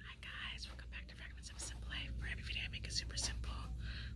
Hi guys, welcome back to Fragments of Simple Life. For every video I make it super simple.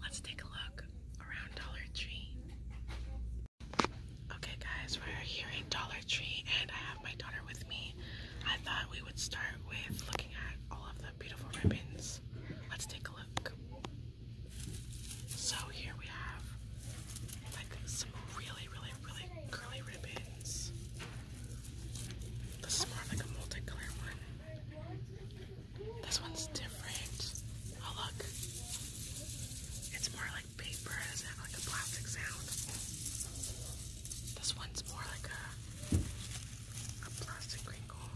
Let's take a look around Dollar Tree. Okay guys, we're here in Dollar Tree and I have my daughter with me. I thought we would start with looking at all of the beautiful ribbons. Let's take a look. So here we have like some really, really, really curly ribbons. This is more like a multicolored one. This one's different. Oh look. It's more like paper, it doesn't have like a plastic sound. This one's more like a plastic wrinkle.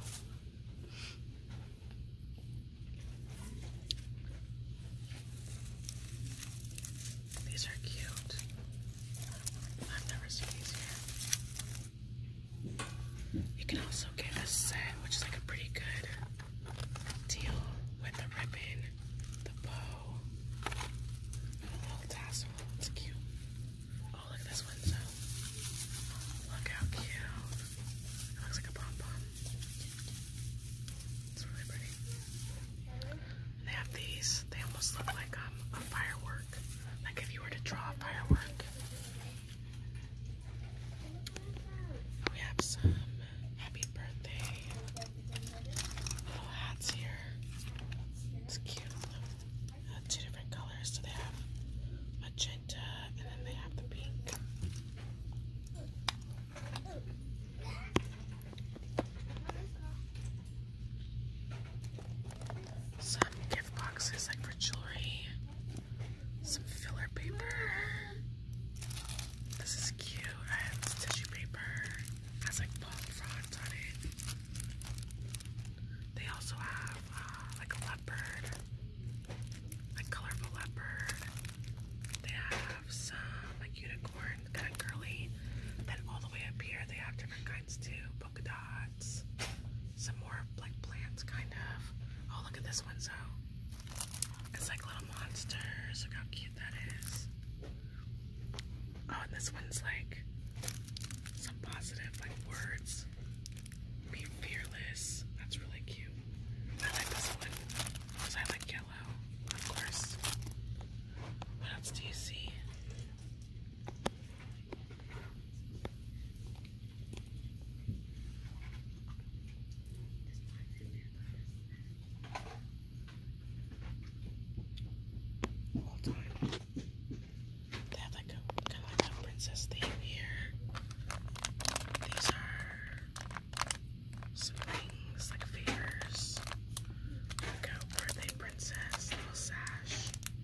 These are cute. I've never seen these You can also get a set, which is like a pretty good deal with the ribbon, the bow, and little tassel. It's cute. Oh, look at this window. Look how cute. It looks like a pom pom. It's really pretty. They have these. They almost look like um, a firework. Like if you were to draw a firework. We have some happy birthday little hats here. It's cute. Uh, two different colors. So they have magenta and then they have the pink some gift boxes like for jewelry, some filler paper. This is cute. I tissue paper. that's like palm fronds on it. They also have uh, like a leopard, like colorful leopard. They have some like unicorn, kind of curly. Then all the way up here, they have different kinds too polka dots, some more like plants, kind of. Oh, look at this one, so it's like little monsters. how cute that is. Oh, and this one's like some positive like words. Be fearless. That's really cute. I like this one because I like yellow, of course. What else do you see? They have like a kind of like a princess theme here. These are some rings, like favors. Like birthday princess, little sash.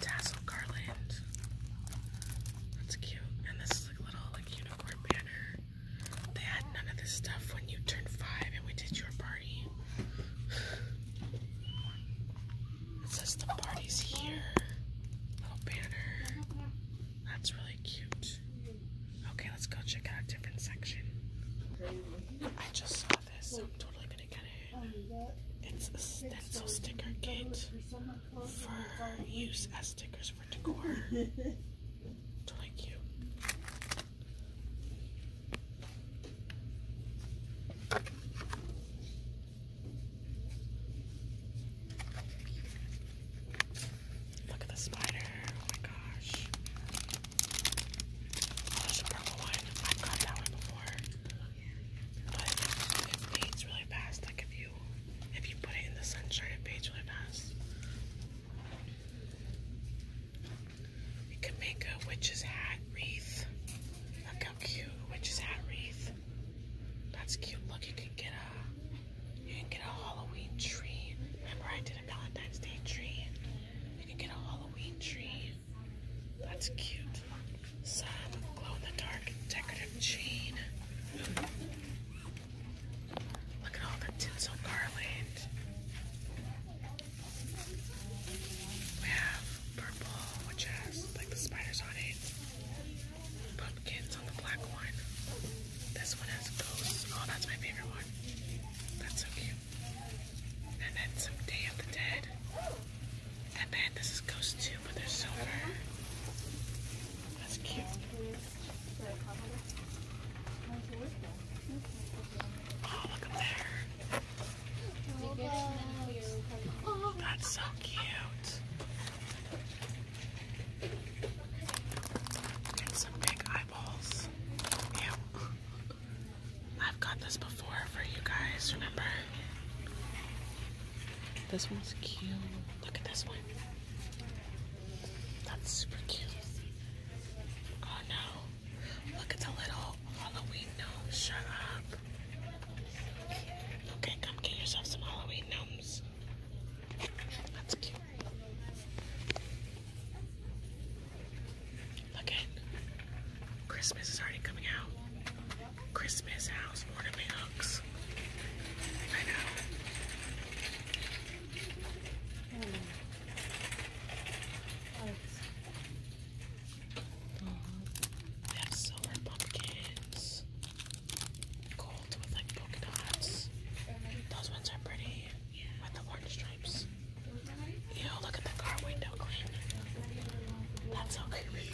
tassel garland. That's cute. And this is like a little like unicorn banner. They had none of this stuff when you turned five and we did your party. It says the party's here. Little banner. That's really cute. Okay, let's go check out a different section. I just saw this, I'm totally gonna get it. It's a stencil sticker kit for use as stickers for decor. It's really Look at the spider. Oh my gosh. Oh, there's a purple one. I've got that one before it fades really fast. Like if you if you put it in the sunshine, it fades really fast. You can make a witch's hat wreath. Look how cute witch's hat wreath. That's cute. Look, you can get a you can get a Halloween tree. Remember I did a Valentine's Day tree. You can get a Halloween tree. That's cute some glow-in-the-dark decorative chain. Look at all the tinsel garland. We have purple, which has like the spiders on it. Pumpkins on the black one. This one has ghosts. Oh, that's my favorite one. That's so cute. And then some Day of the Dead. And then this is Ghost 2, but they're silver. That's cute. Oh, look up there. That's so cute. some big eyeballs. Yeah. I've got this before for you guys, remember? This one's cute. Look at this one. That's super cute. Oh no. Look, it's a little Halloween gnome. Shut up. Okay, come get yourself some Halloween gnomes. That's cute. Look at Christmas is already coming out. Christmas house ornament I know. Oh. Oh. silver pumpkins. Gold with like polka dots. Those ones are pretty with the orange stripes. Ew, look at the car window clean. That's so creepy.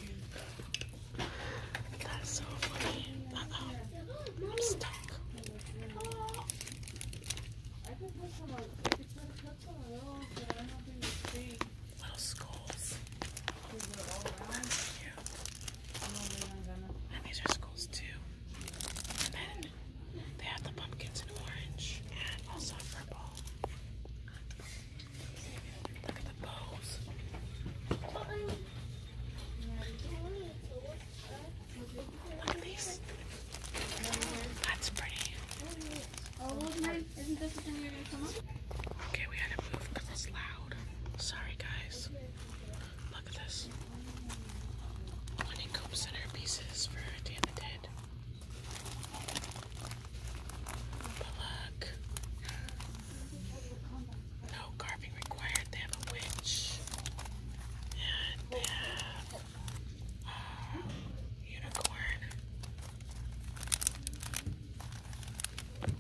That's so funny. I'm stuck. Little skulls. And these are skulls too. And then they have the pumpkins in orange and also purple. Look at the bows. Look at these. That's pretty. Okay, we had to move because it's loud. Sorry, guys. Look at this. Honeycomb centerpieces for Day of the Dead. Plug. No carving required. They have a witch. And they have a uh, unicorn.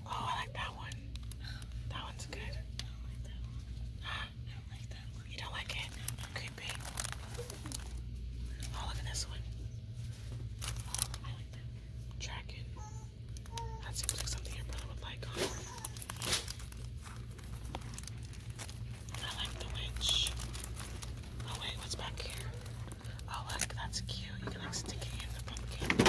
Oh, I like that one. That one's good. You don't like it? Creepy. Oh, look this one. Dragon. That seems like something um, your brother would like, I like the witch. Oh wait, what's back here? Oh look, that's cute. You can stick it in the pumpkin.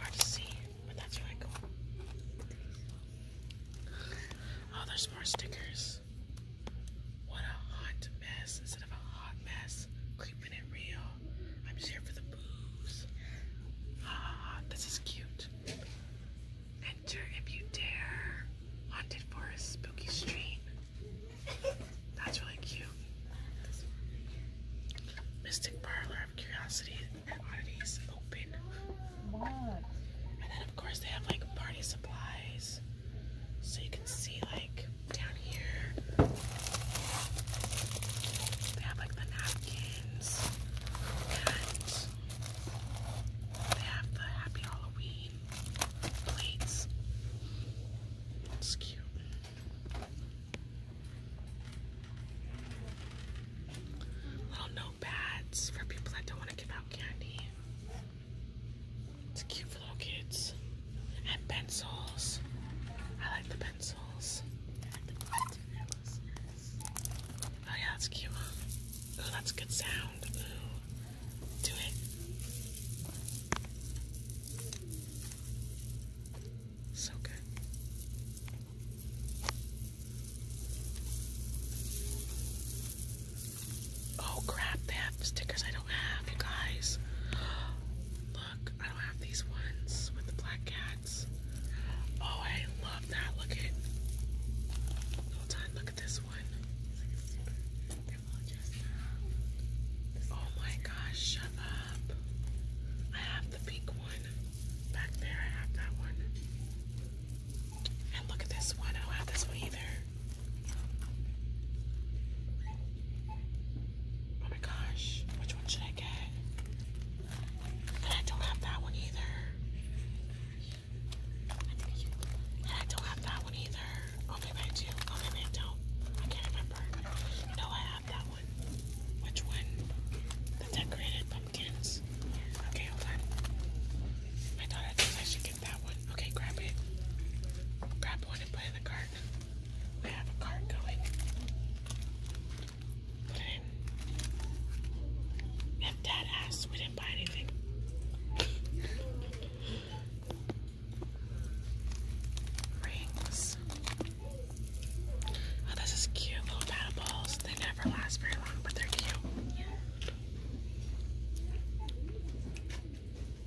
Hard to see, but that's really cool. Oh, there's more stickers. What a hot mess instead of a hot mess. Keeping it real. I'm just here for the booze. Ah, this is cute. Enter if you dare. Haunted Forest Spooky Street. That's really cute. Mystic Parlor of Curiosity and Oddities Open. And then of course they have like party supplies. So you can see like down here. They have like the napkins they have the Happy Halloween plates. It's cute. Little notepads for people that don't want to give out candy. It's cute for little kids. And pencils. I like the pencils. Like the pencils. Oh yeah, that's cute. Oh, that's a good sound. Ooh. Do it. So good. Oh crap, they have stickers I don't have, you guys. Look, I don't have these ones with the black cats. Oh, I love that. Look at Hold on, look at this one. Oh my gosh, shut up. I have the pink one. Back there, I have that one. And look at this one. I don't have this one either. Oh my gosh, which one should I get? And I don't have that one either. And I don't have that one either. Oh, maybe do. Oh, maybe don't. I can't remember. No, I have that one. Which one? The decorated pumpkins. Okay, hold on. My daughter thinks I should get that one. Okay, grab it. Grab one and put in the cart. We have a cart going. Put it in. If dad asked, we didn't buy anything. Rings. Oh, this is cute. Little paddle balls. They never last very long, but they're cute.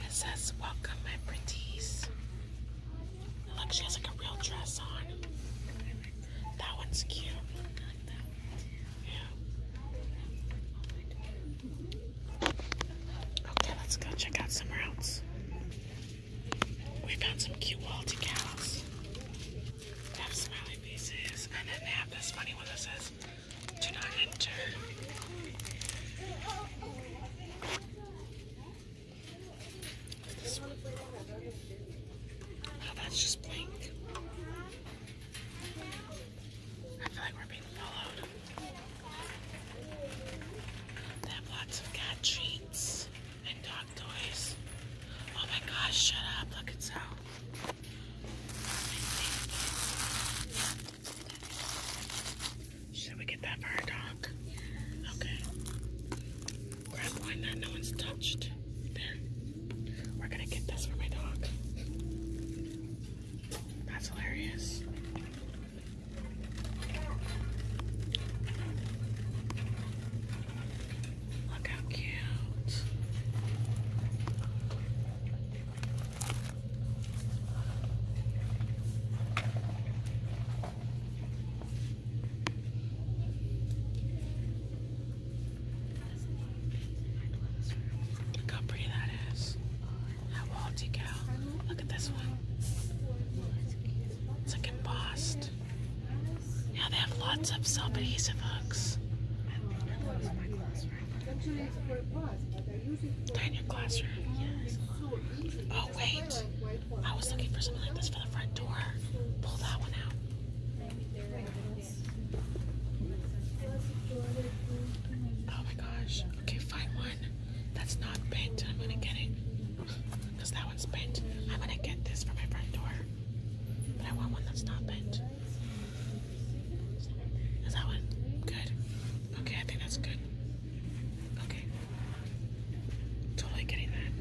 It says, welcome my Look, she has like a real dress on. That one's cute. Yeah. Okay, let's go check out somewhere else. We found some cute wall decals. have smiley faces, and then they have this funny one that says, do not enter that's just blank. I feel like we're being followed. They have lots of cat treats and dog toys. Oh my gosh, shut up. Look, it's out. Should we get that for our dog? Okay. Grab one that no one's touched. We're gonna get this for my dog. That's hilarious. Look how cute. Look how pretty that is. How walty cow. Look at this one. It's like embossed. Yeah, they have lots of self-adhesive hooks. They're in your classroom. Yes. Oh wait. I was looking for something like this for the front door. Pull that one out. Oh my gosh. Okay, find one that's not bent. I'm gonna get it. Because that one's bent. I'm gonna get this for my front door. But I want one that's not bent. Is that one? Good. Okay, I think that's good. Okay. Totally getting that.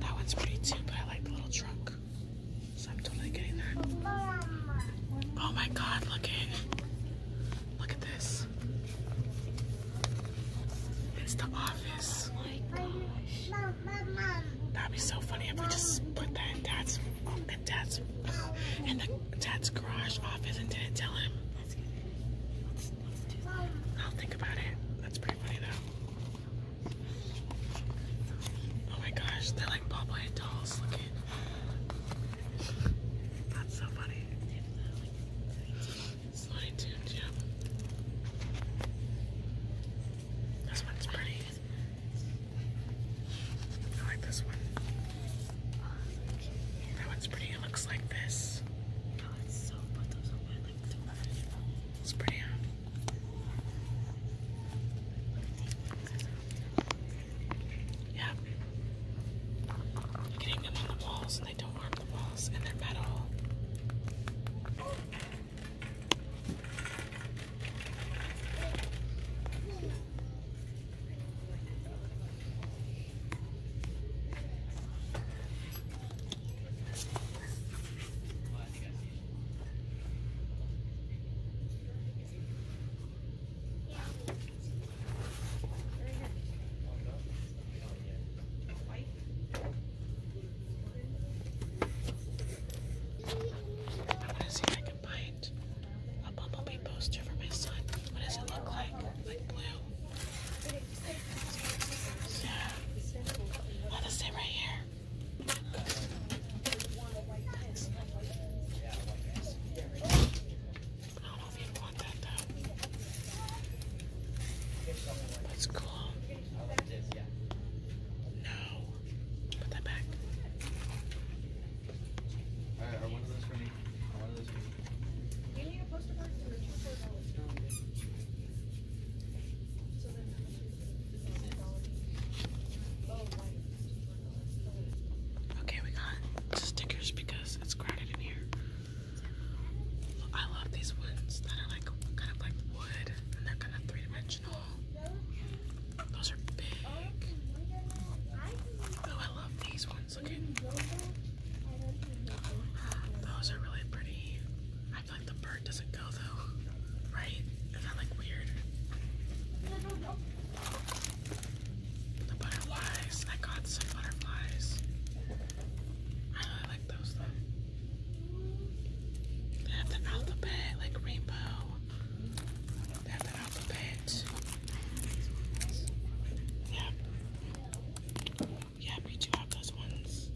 That one's pretty too, but I like the little truck. So I'm totally getting that. Oh my god, look at Look at this. It's the office. Oh That'd be so funny if we just put that in dad's dad's in the dad's garage office and didn't tell him. That's I'll think about it. That's pretty funny though. Oh my gosh, they're like Popeye dolls That's so funny. Sliding tune, Jim. This one's pretty. I like this one. That one's pretty. It looks like this. Oh, it's pretty. Huh? Yeah. them on the walls, and they don't harm the walls, and they're metal see if I can a Bumblebee poster for my son. What does it look like? Like blue. Yeah. Let us sit right here. I don't know if you want that though. That's cool. No. Put that back. I, I wanted this this for me. Oh, okay, we got stickers because it's crowded in here. I love these ones that are like kind of like wood and they're kind of three dimensional. Those are big. Oh, I love these ones. Look those are really pretty. I feel like the bird doesn't go though, right? Is that like weird? The butterflies. I got some butterflies. I really like those though. They have the alphabet, like rainbow alphabet. Yeah, we do have those ones.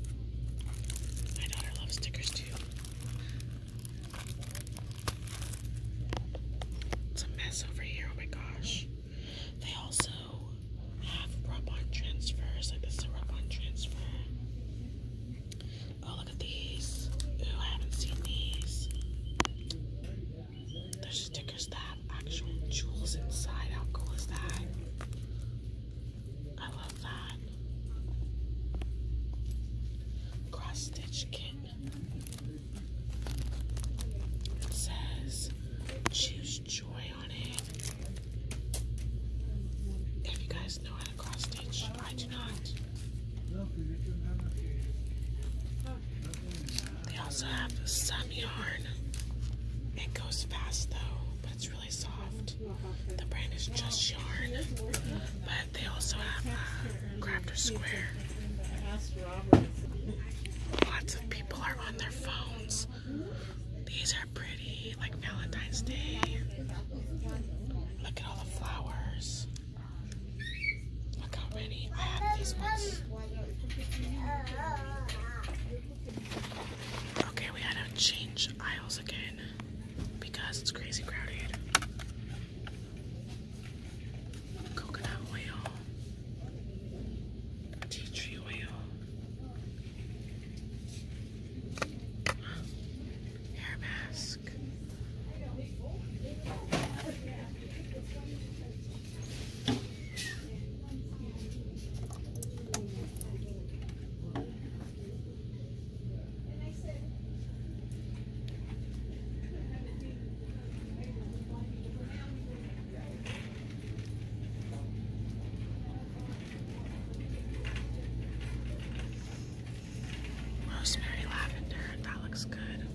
My daughter loves stickers too. It's a mess over here, oh my gosh. They also have rub on transfers, like this is a rub on transfer. Oh, look at these. Ooh, I haven't seen these. There's stickers that have actual jewels inside. How cool is that? I love that. Cross stitch kit. It says choose joy on it. If you guys know how to cross stitch, they also have some yarn. It goes fast though, but it's really soft. The brand is just yarn, but they also have uh, Crafter Square. Lots of people are on their phones. These are pretty, like Valentine's Day. Look at all the flowers. Look how many I have these ones. Okay, we had to change aisles again because it's crazy crowded. Coconut oil, tea tree oil, hair mask desk. Rosemary lavender, that looks good.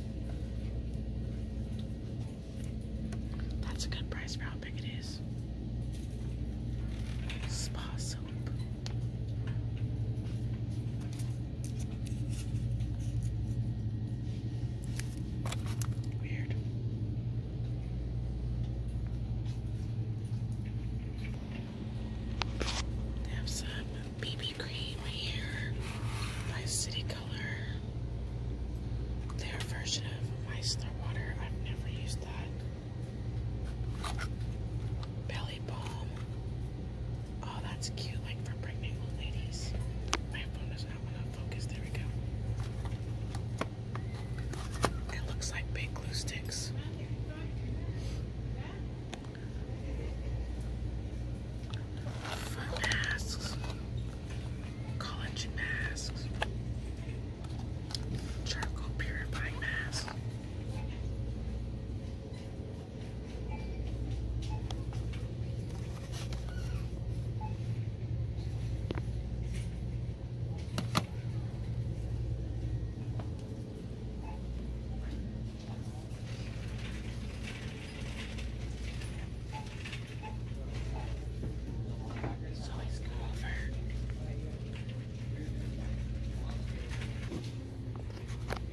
That's a good price for how big it is. Spa soap. Weird. They have BB cream here by City Color. Their version of Meisler water. I've never used that. Belly balm. Oh, that's cute, like for pregnant ladies. My phone does not want to focus. There we go. It looks like big glue sticks for masks, collagen masks, charcoal purifying masks.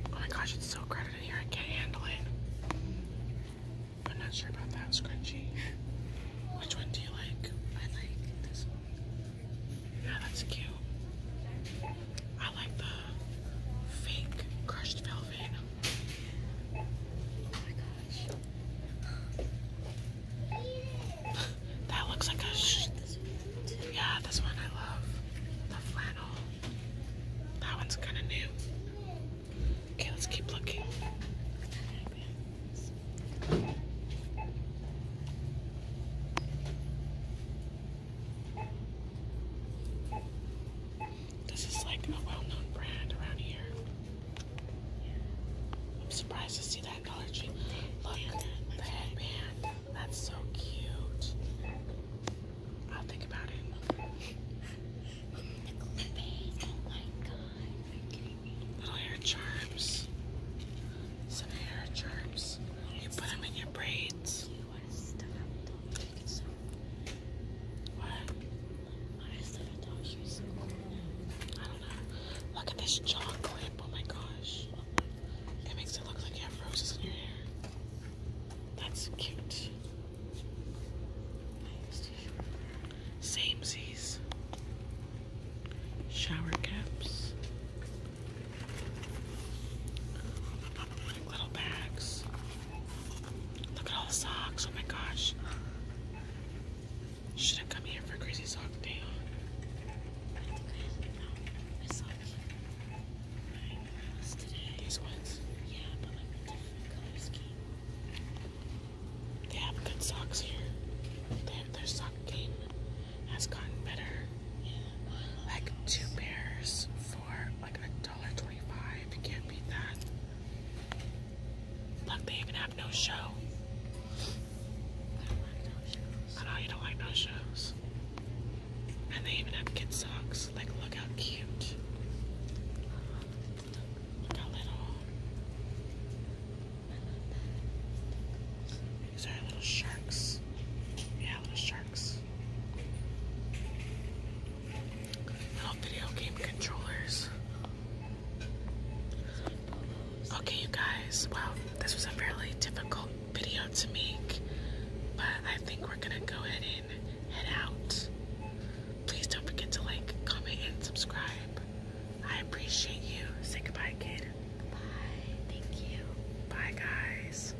Oh my gosh, it's so crowded in here. I can't handle it. I'm not sure about that scrunchie. Which one do you like? I like this one. Yeah, that's cute. I like the fake crushed velvet. Oh that looks like a. Like this yeah, this one I love. The flannel. That one's kind of new. Okay, let's keep looking. This is like a well-known brand around here. I'm surprised to see that in Dollar Tree. Look, the headband. That's so cute. I'll think about it. the clip, Oh my god. Little hair charms. Some hair charms. You put them in your braids. I stuff out dog chicken so I don't know. Look at this chocolate. Oh my gosh. It makes it look like you have roses in your hair. That's cute. Samesies. Shower caps. Little bags. Look at all the socks. Oh my gosh. Should have come here for crazy sock day. These ones? Yeah, but like Their, sock game has gotten better. Like two pairs for like a $1.25. Can't beat that. Look, they even have no show. I know you don't like no shows. And they even have kid socks. Like, look how cute. Look how little. These are little sharks. Yeah, little sharks. Little video game controllers. Okay, you guys. Well, this was a fairly difficult video to make, but I think we're gonna go ahead and head out. Please don't forget to like, comment, and subscribe. I appreciate you. Say goodbye, kid. Bye. Thank you. Bye, guys.